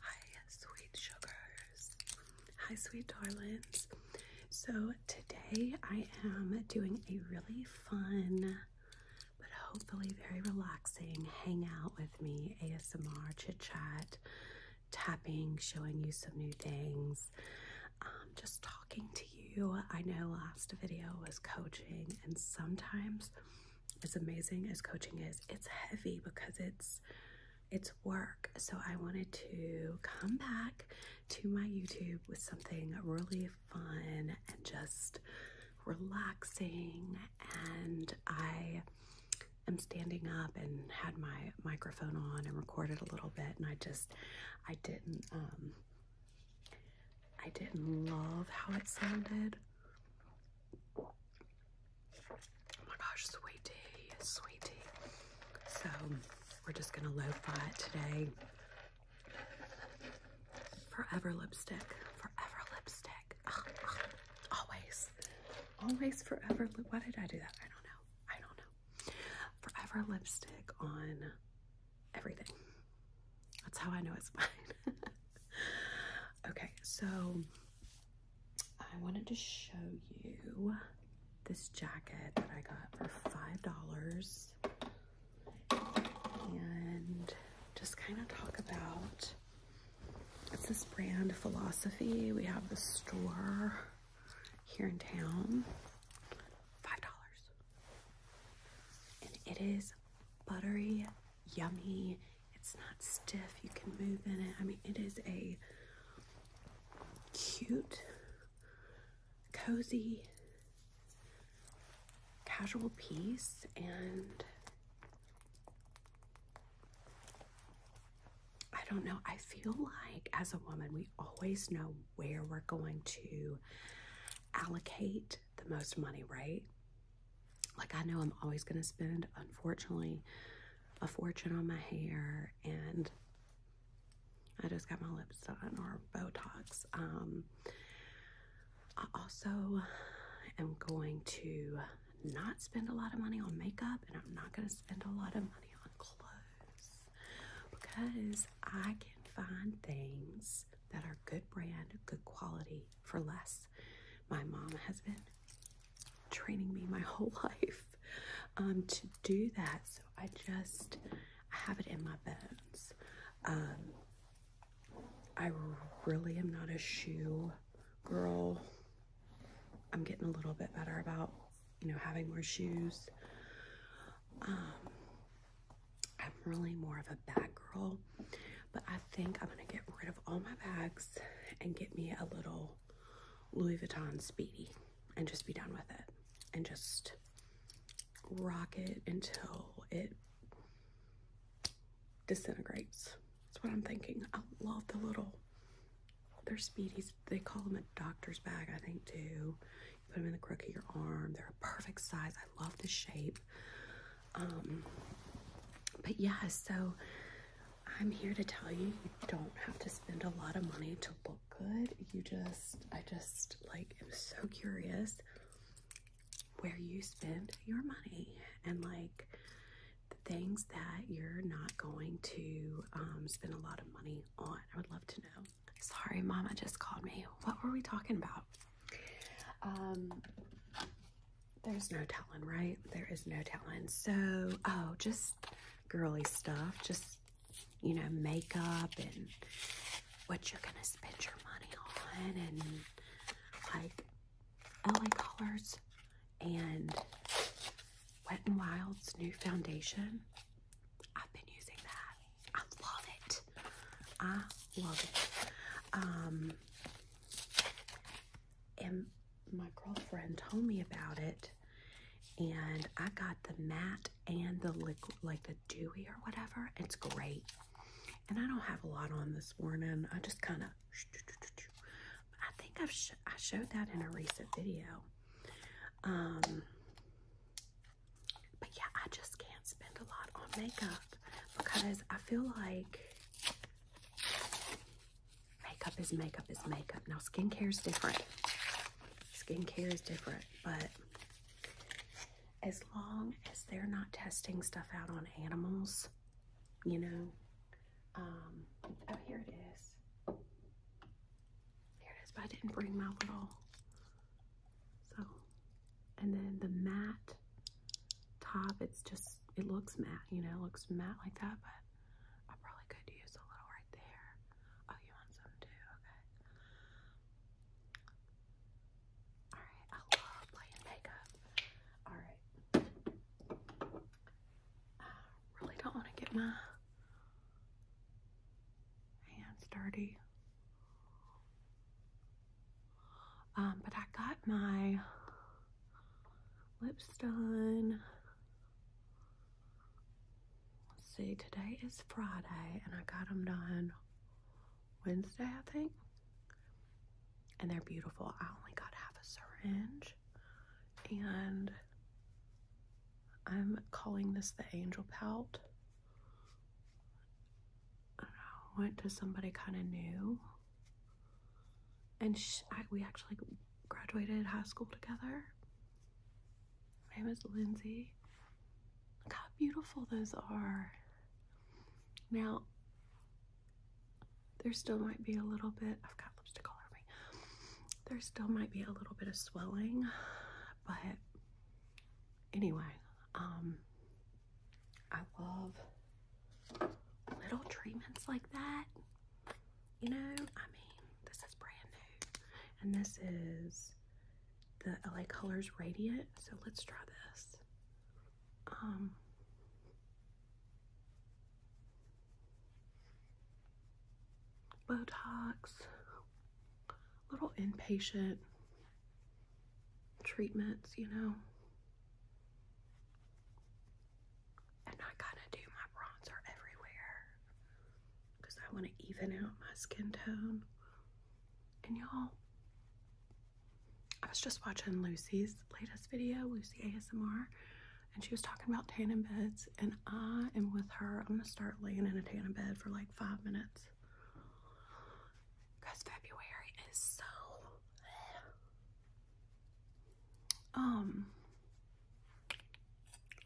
Hi, sweet sugars. Hi, sweet darlings. So, today I am doing a really fun but hopefully very relaxing hangout with me ASMR chit chat, tapping, showing you some new things, um, just talking to you. I know last video was coaching, and sometimes as amazing as coaching is, it's heavy because it's it's work. So I wanted to come back to my YouTube with something really fun and just relaxing and I am standing up and had my microphone on and recorded a little bit and I just I didn't um I didn't love how it sounded Oh my gosh, sweet tea, So we're just gonna lo-fi it today. Forever lipstick, forever lipstick. Always, always forever. Why did I do that? I don't know. I don't know. Forever lipstick on everything. That's how I know it's mine. okay, so I wanted to show you this jacket that I got for $5 and just kind of talk about it's this brand philosophy we have the store here in town five dollars and it is buttery yummy. It's not stiff. You can move in it. I mean, it is a cute, cozy, casual piece and I don't know. I feel like as a woman, we always know where we're going to allocate the most money, right? like I know I'm always going to spend, unfortunately, a fortune on my hair and I just got my lips done or Botox. Um, I also am going to not spend a lot of money on makeup and I'm not going to spend a lot of money on clothes because I can find things that are good brand, good quality for less. My mom has been training me my whole life um, to do that. So I just I have it in my bones. Um, I really am not a shoe girl. I'm getting a little bit better about you know having more shoes. Um, I'm really more of a bag girl, but I think I'm gonna get rid of all my bags and get me a little Louis Vuitton Speedy and just be done with it and just rock it until it disintegrates. That's what I'm thinking. I love the little, they're speedies. They call them a doctor's bag, I think, too. You put them in the crook of your arm. They're a perfect size. I love the shape. Um, but yeah, so I'm here to tell you, you don't have to spend a lot of money to look good. You just, I just like i am so curious where you spend your money and like the things that you're not going to um, spend a lot of money on. I would love to know. Sorry, Mama just called me. What were we talking about? Um, there's no telling, right? There is no telling. So, oh, just girly stuff. Just, you know, makeup and what you're going to spend your money on and like LA Colors and Wet and Wild's new foundation. I've been using that. I love it. I love it. Um, and my girlfriend told me about it and I got the matte and the liquid like the dewy or whatever. It's great. And I don't have a lot on this morning. I just kind of I think I've I showed that in a recent video. Um but yeah, I just can't spend a lot on makeup because I feel like Makeup is makeup is makeup. Now, skincare is different. Skincare is different, but as long as they're not testing stuff out on animals, you know. Um, oh, here it is. Here it is, but I didn't bring my little. So, and then the matte top, it's just, it looks matte, you know, looks matte like that, but I probably could use a little right there. Oh, you want some too? Okay. Alright, I love playing makeup. Alright. really don't want to get my hands dirty. Um, but I got my lips done. Let's see, today is Friday and I got them done Wednesday, I think. And they're beautiful. I only got half a syringe and I'm calling this the angel pout. I went to somebody kind of new and we actually graduated high school together. My name is Lindsay. Look how beautiful those are. Now, there still might be a little bit, I've got lipstick all over me. There still might be a little bit of swelling, but anyway, um, I love little treatments like that you know, I mean, this is brand new. And this is the LA Colors Radiant. So let's try this. Um, Botox, little inpatient treatments, you know. And I kind of do my bronzer everywhere because I want to even out my skin tone. And y'all, I was just watching Lucy's latest video, Lucy ASMR, and she was talking about tanning beds. And I am with her. I'm going to start laying in a tanning bed for like five minutes because February is so. Um,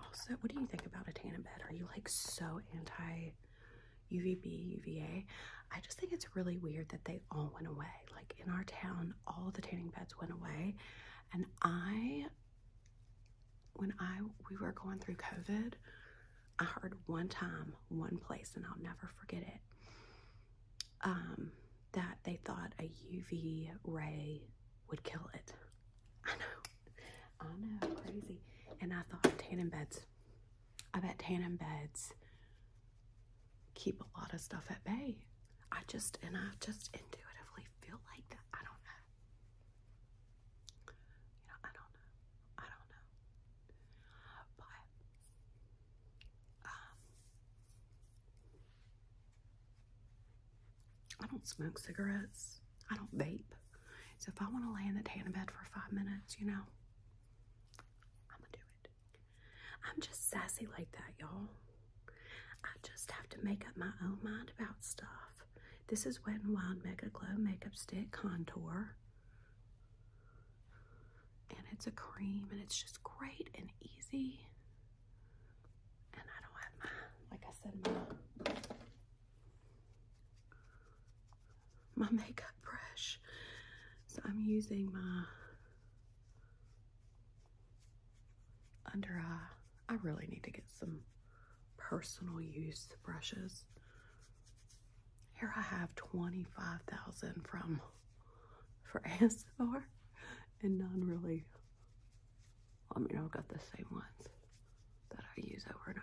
also, what do you think about a tanning bed? Are you like so anti UVB, UVA? I just think it's really weird that they all went away. Like in our town, all the tanning beds went away. And I, when I, we were going through COVID, I heard one time, one place, and I'll never forget it. Um, that they thought a UV ray would kill it. I know, I know, crazy. And I thought tanning beds, I bet tanning beds keep a lot of stuff at bay. I just, and I just intuitively feel like that. I don't know. You know, I don't know. I don't know. But, um, I don't smoke cigarettes. I don't vape. So if I want to lay in the tan bed for five minutes, you know, I'm gonna do it. I'm just sassy like that, y'all. I just have to make up my own mind about stuff. This is Wet n Wild Mega Glow Makeup Stick Contour. And it's a cream and it's just great and easy. And I don't have my, like I said, my, makeup brush. So I'm using my under eye. I really need to get some personal use brushes. Here I have 25,000 from for ASMR and none really I mean, I've got the same ones that I use over and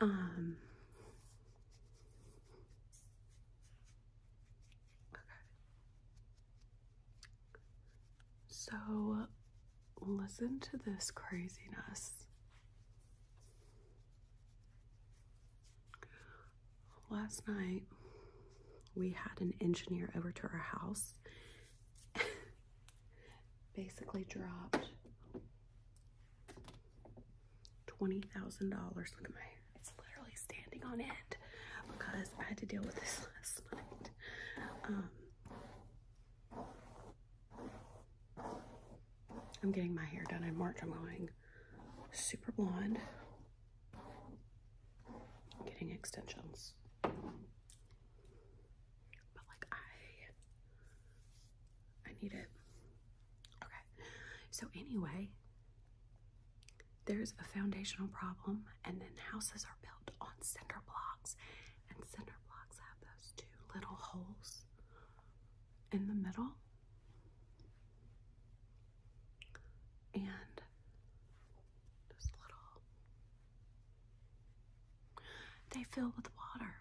over. Um, okay. So, listen to this craziness last night we had an engineer over to our house basically dropped $20,000 look at my it's literally standing on end because I had to deal with this last night um, I'm getting my hair done in March. I'm going super blonde getting extensions. But like I I need it. Okay. So anyway, there's a foundational problem and then houses are built on cinder blocks and cinder blocks have those two little holes in the middle. And just little. They fill with water.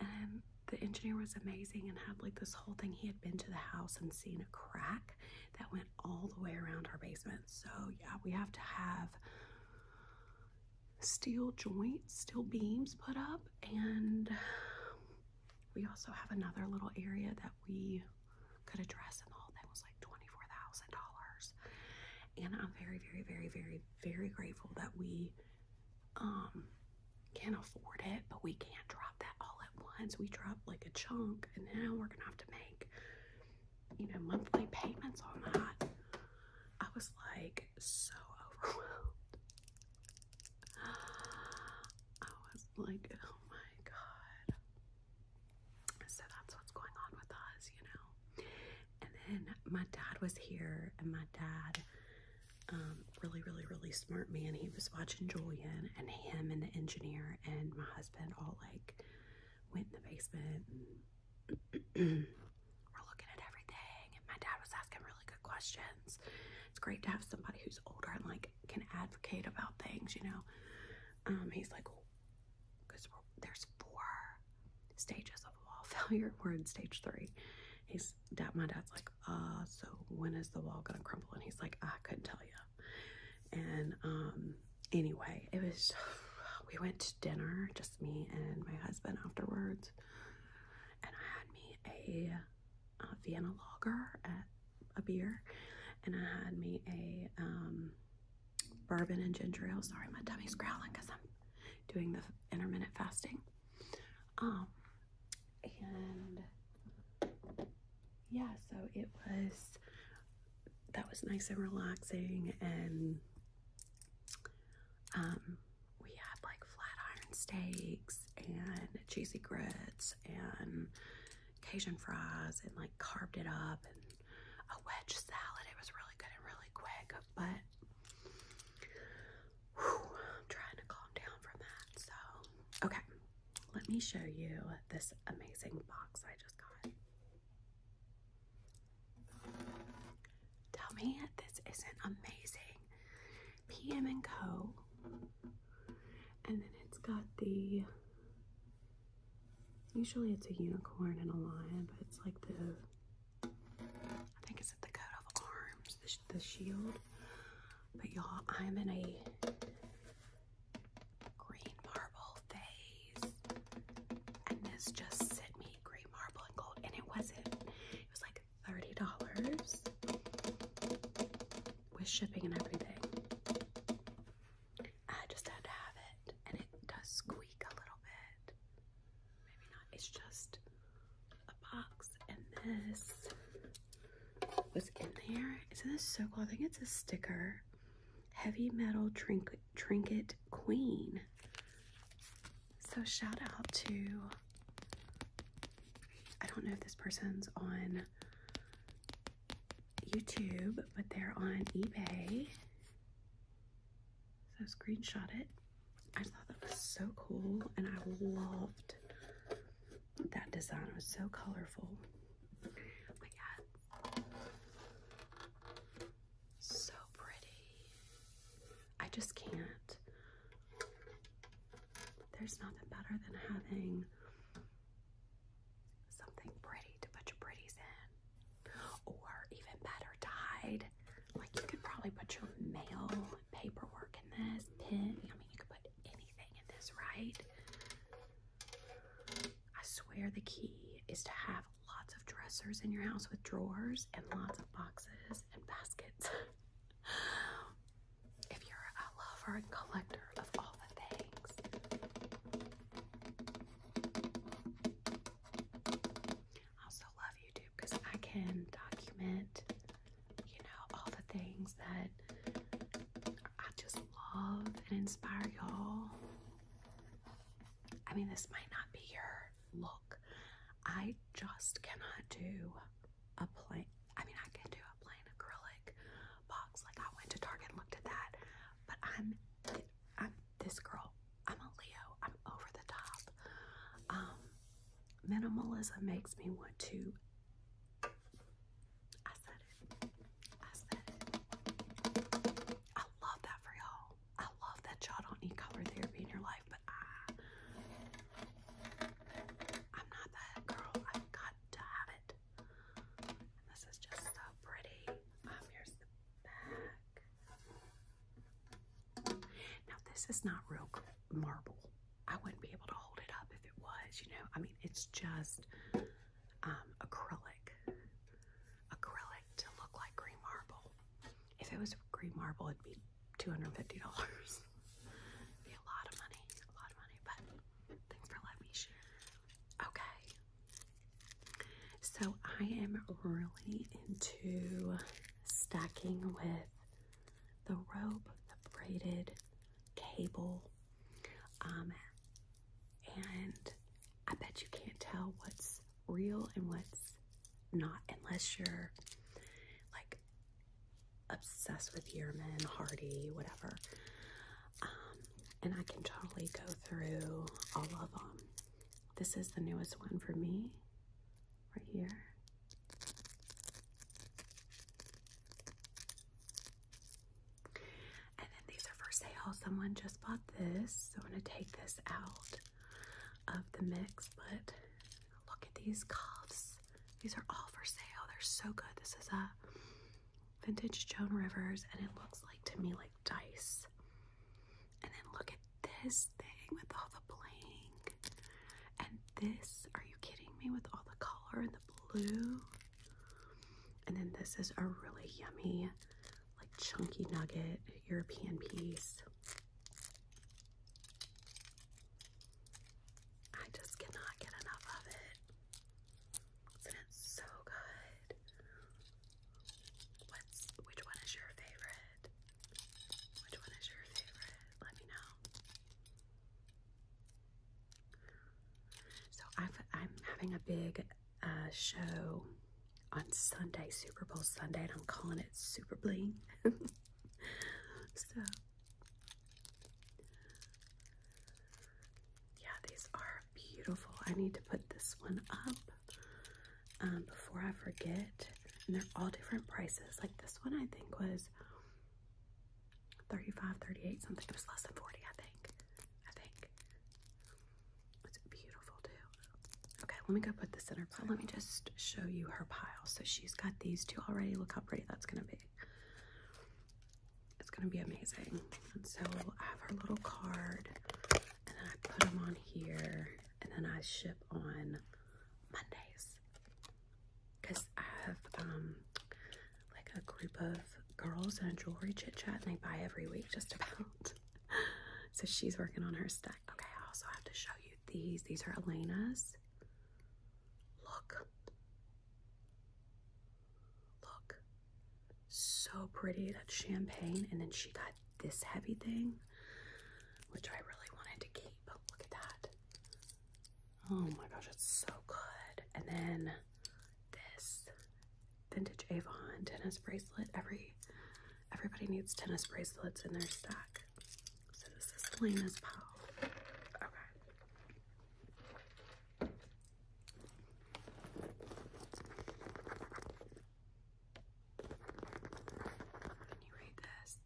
And the engineer was amazing and had like this whole thing. He had been to the house and seen a crack that went all the way around our basement. So, yeah, we have to have steel joints, steel beams put up, and we also have another little area that we could address and all that was like $24,000. And I'm very, very, very, very, very grateful that we um, can afford it, but we can't drop that all at once. We dropped like a chunk, and now we're gonna have to make, you know, monthly payments on that. I was like so overwhelmed. I was like, oh my god. So that's what's going on with us, you know. And then my dad was here, and my dad, um, really, really, really smart man. He was watching Julian and him and the engineer and my husband all like went in the basement we're looking at everything. And my dad was asking really good questions. It's great to have somebody who's older and like can advocate about things, you know. Um, he's like, oh, there's four stages of wall failure. We're in stage three. He's dad. My dad's like, uh, so when is the wall gonna crumble? And he's like, I couldn't tell you. And um, anyway, it was. We went to dinner, just me and my husband afterwards, and I had me a, Vienna logger at a beer, and I had me a um, bourbon and ginger ale. Sorry, my tummy's growling because I'm doing the intermittent fasting. Um, and yeah, so it was that was nice and relaxing, and um, we had like flat iron steaks and cheesy grits and Cajun fries and like carved it up and a wedge salad. It was really good and really quick, but I'm trying to calm down from that. So, okay, let me show you this amazing box I just got. Tell me this isn't amazing. PM and Co. And then it's got the Usually it's a unicorn and a lion, but it's like the, I think it's the coat of arms, the shield. But y'all, I'm in a green marble phase. And this just sent me green marble and gold. And it wasn't, it was like $30 with shipping and everything. I just had to have it, and it does squeak a little bit. Maybe not. It's just a box, and this was in there. Isn't this so cool? I think it's a sticker. Heavy metal trinket, trinket queen. So shout out to. I don't know if this person's on YouTube, but they're on eBay. So I screenshot it. I thought that was so cool and I loved that design. It was so colorful. Oh my god. So pretty. I just can't. There's nothing better than having something pretty to put your pretties in, or even better, tied. Like you could probably put your mail, paperwork in this, pin. I mean, you could put anything in this, right? I swear the key is to have lots of dressers in your house with drawers and lots of boxes and baskets. if you're a lover and collector of all the I also love YouTube because I can document, you know, all the things that I just love and inspire y'all. I mean, this might not be your look. I just cannot do a plain. I mean, I can do a plain acrylic, box. Like I went to Target and looked at that, but I'm I'm this girl. I'm a Leo. I'm over the top. Um, minimalism makes me want to. I said it. I said it. I love that for y'all. I love that y'all don't need color therapy in your life, but I. I'm not that girl. I've got to have it this is just so pretty. Um, here's the back. Now this is not real marble. I wouldn't be able to hold it up if it was, you know. I mean, it's just um, acrylic, acrylic to look like green marble. If it was green marble, it'd be two hundred and fifty dollars. be a lot of money, a lot of money. But thanks for letting me share. Okay, so I am really into stacking with the rope, the braided cable, um, and I bet you can't tell what's real and what's not unless you're like obsessed with Yearman, Hardy, whatever. Um, and I can totally go through all of them. This is the newest one for me, right here. And then these are for sale. Someone just bought this, so I'm going to take this out of the mix. But look at these cuffs. These are all for sale. They're so good. This is a vintage Joan Rivers, and it looks like to me like dice. And then look at this thing with all the bling. And this, are you kidding me, with all the color and the blue? And then this is a really yummy, like chunky nugget European piece. I just cannot get enough of it is so good? What's which one is your favorite? Which one is your favorite? Let me know. So I've, I'm having a big uh, show on Sunday, Super Bowl Sunday, and I'm calling it Super Bling. so yeah, these are beautiful. I need to put this one up um, before I forget. And they're all different prices. Like this one, I think was 35 38 something. It was less than 40 I think. I think. It's beautiful too. Okay, let me go put this in her pile. Let me just show you her pile. So she's got these two already. Look how pretty that's going to be. It's gonna be amazing. And so I have our little card, and I put them on here, and then I ship on Mondays. Cause I have um like a group of girls in a jewelry chit chat, and they buy every week just about. so she's working on her stack. Okay, I also have to show you these. These are Elena's. Look. Look, so pretty. that champagne. And then she got this heavy thing, which I really wanted to keep. Look at that. Oh my gosh, it's so good. And then this vintage Avon tennis bracelet. Every everybody needs tennis bracelets in their stack. So this is Lena's pal. Okay. Can you read this?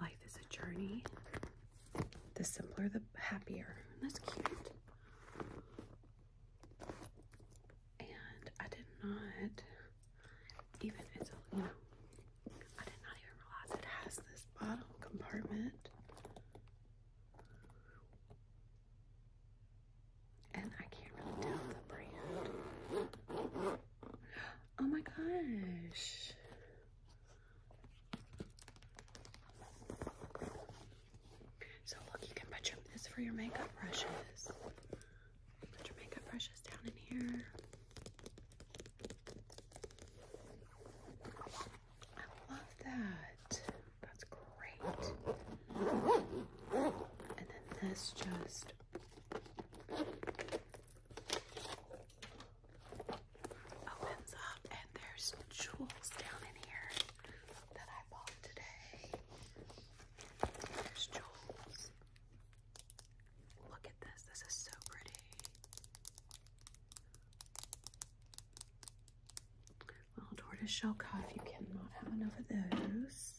Life is a journey. The simpler, the happier. That's cute. And I did not even, it's you know, I did not even realize it has this bottom compartment. And I can't really tell the brand. Oh my gosh. So look, you can put your this for your makeup brushes. Put your makeup brushes down in here. I love that. That's great. And then this just opens up, and there's jewels down in here that I bought today. There's jewels. Look at this. This is so pretty. Well, tortoiseshell cuff, you cannot have enough of those.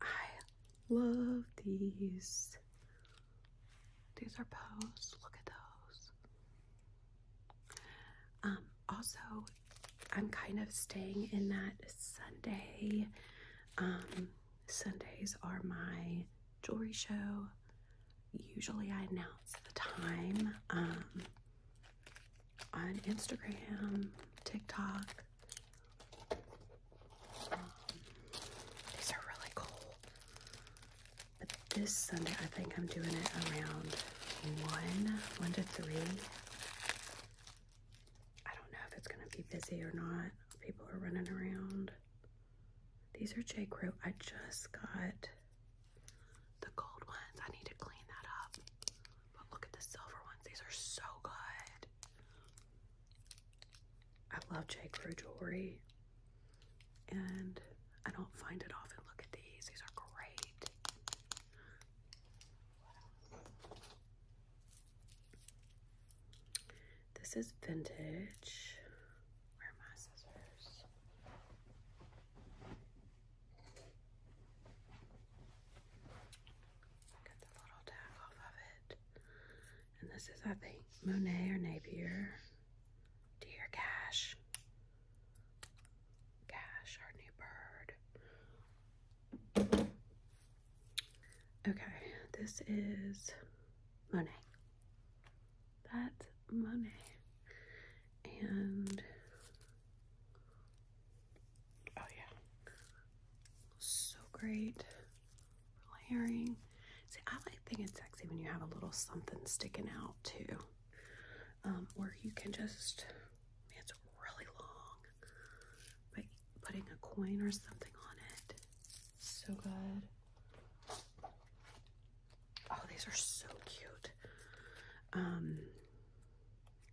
I love these. These are posed. Look at those. Um, also, I'm kind of staying in that Sunday um Sundays are my jewelry show. Usually I announce the time um, on Instagram, TikTok. Um, these are really cool. But this Sunday I think I'm doing it around 1, 1 to 3. I don't know if it's going to be busy or not. People are running around. These are J. Crew. I just got the gold ones. I need to clean that up. But look at the silver ones. These are so good. I love J. Crew jewelry. And I don't find it often. Look at these. These are great. This is vintage. Where are my scissors? Get the little tag off of it. And this is, I think, Monet or Napier. Dear Cash. Cash, our new bird. Okay, this is Monet. That's Monet. And oh yeah. So great for layering. See, I like thinking sexy when you have a little something sticking out too. or um, you can just it's really long, but putting a coin or something on it so good. Oh, these are so cute. Um,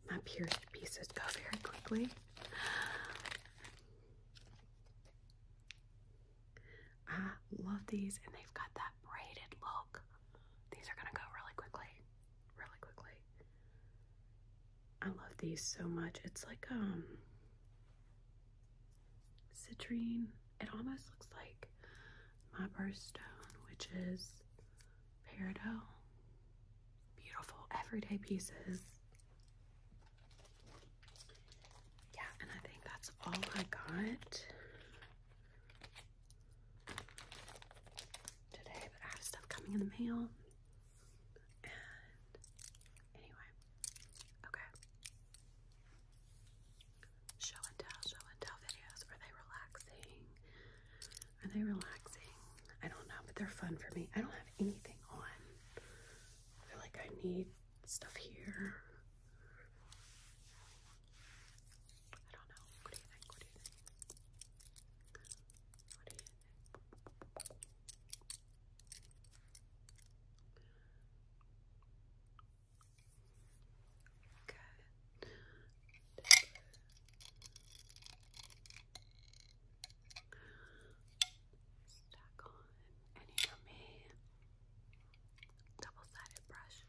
my pierced pieces go very quickly. I love these, and they've got that braided look. These are gonna go really quickly, really quickly. I love these so much. It's like um, citrine. It almost looks like my birthstone, which is peridot. Beautiful everyday pieces. Yeah, and I think that's all I got today, but I have stuff coming in the mail. And anyway, Okay. Show and tell, show and tell videos. Are they relaxing? Are they relaxing? I don't know, but they're fun for me. I don't have anything on. I feel like I need stuff here. I don't know. What do you think? What do you think? Good. Stack on any of me double-sided brush.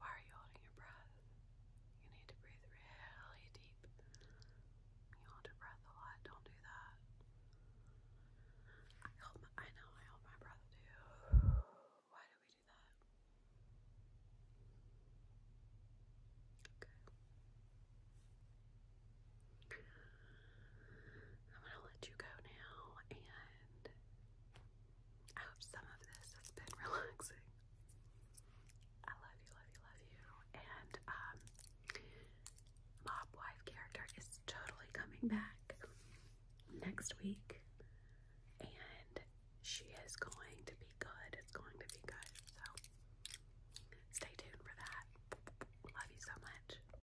Why are you holding your breath? You need to breathe really deep. You hold your breath a lot, don't do that. I hold my, I know I hold my breath too. Why do we do that? Okay. I'm going to let you go now, and I hope some of this has been relaxing. I love you, love you, love you. And um, Mob Wife character is totally coming back next week, and she is going to be good. It's going to be good. So stay tuned for that. Love you so much.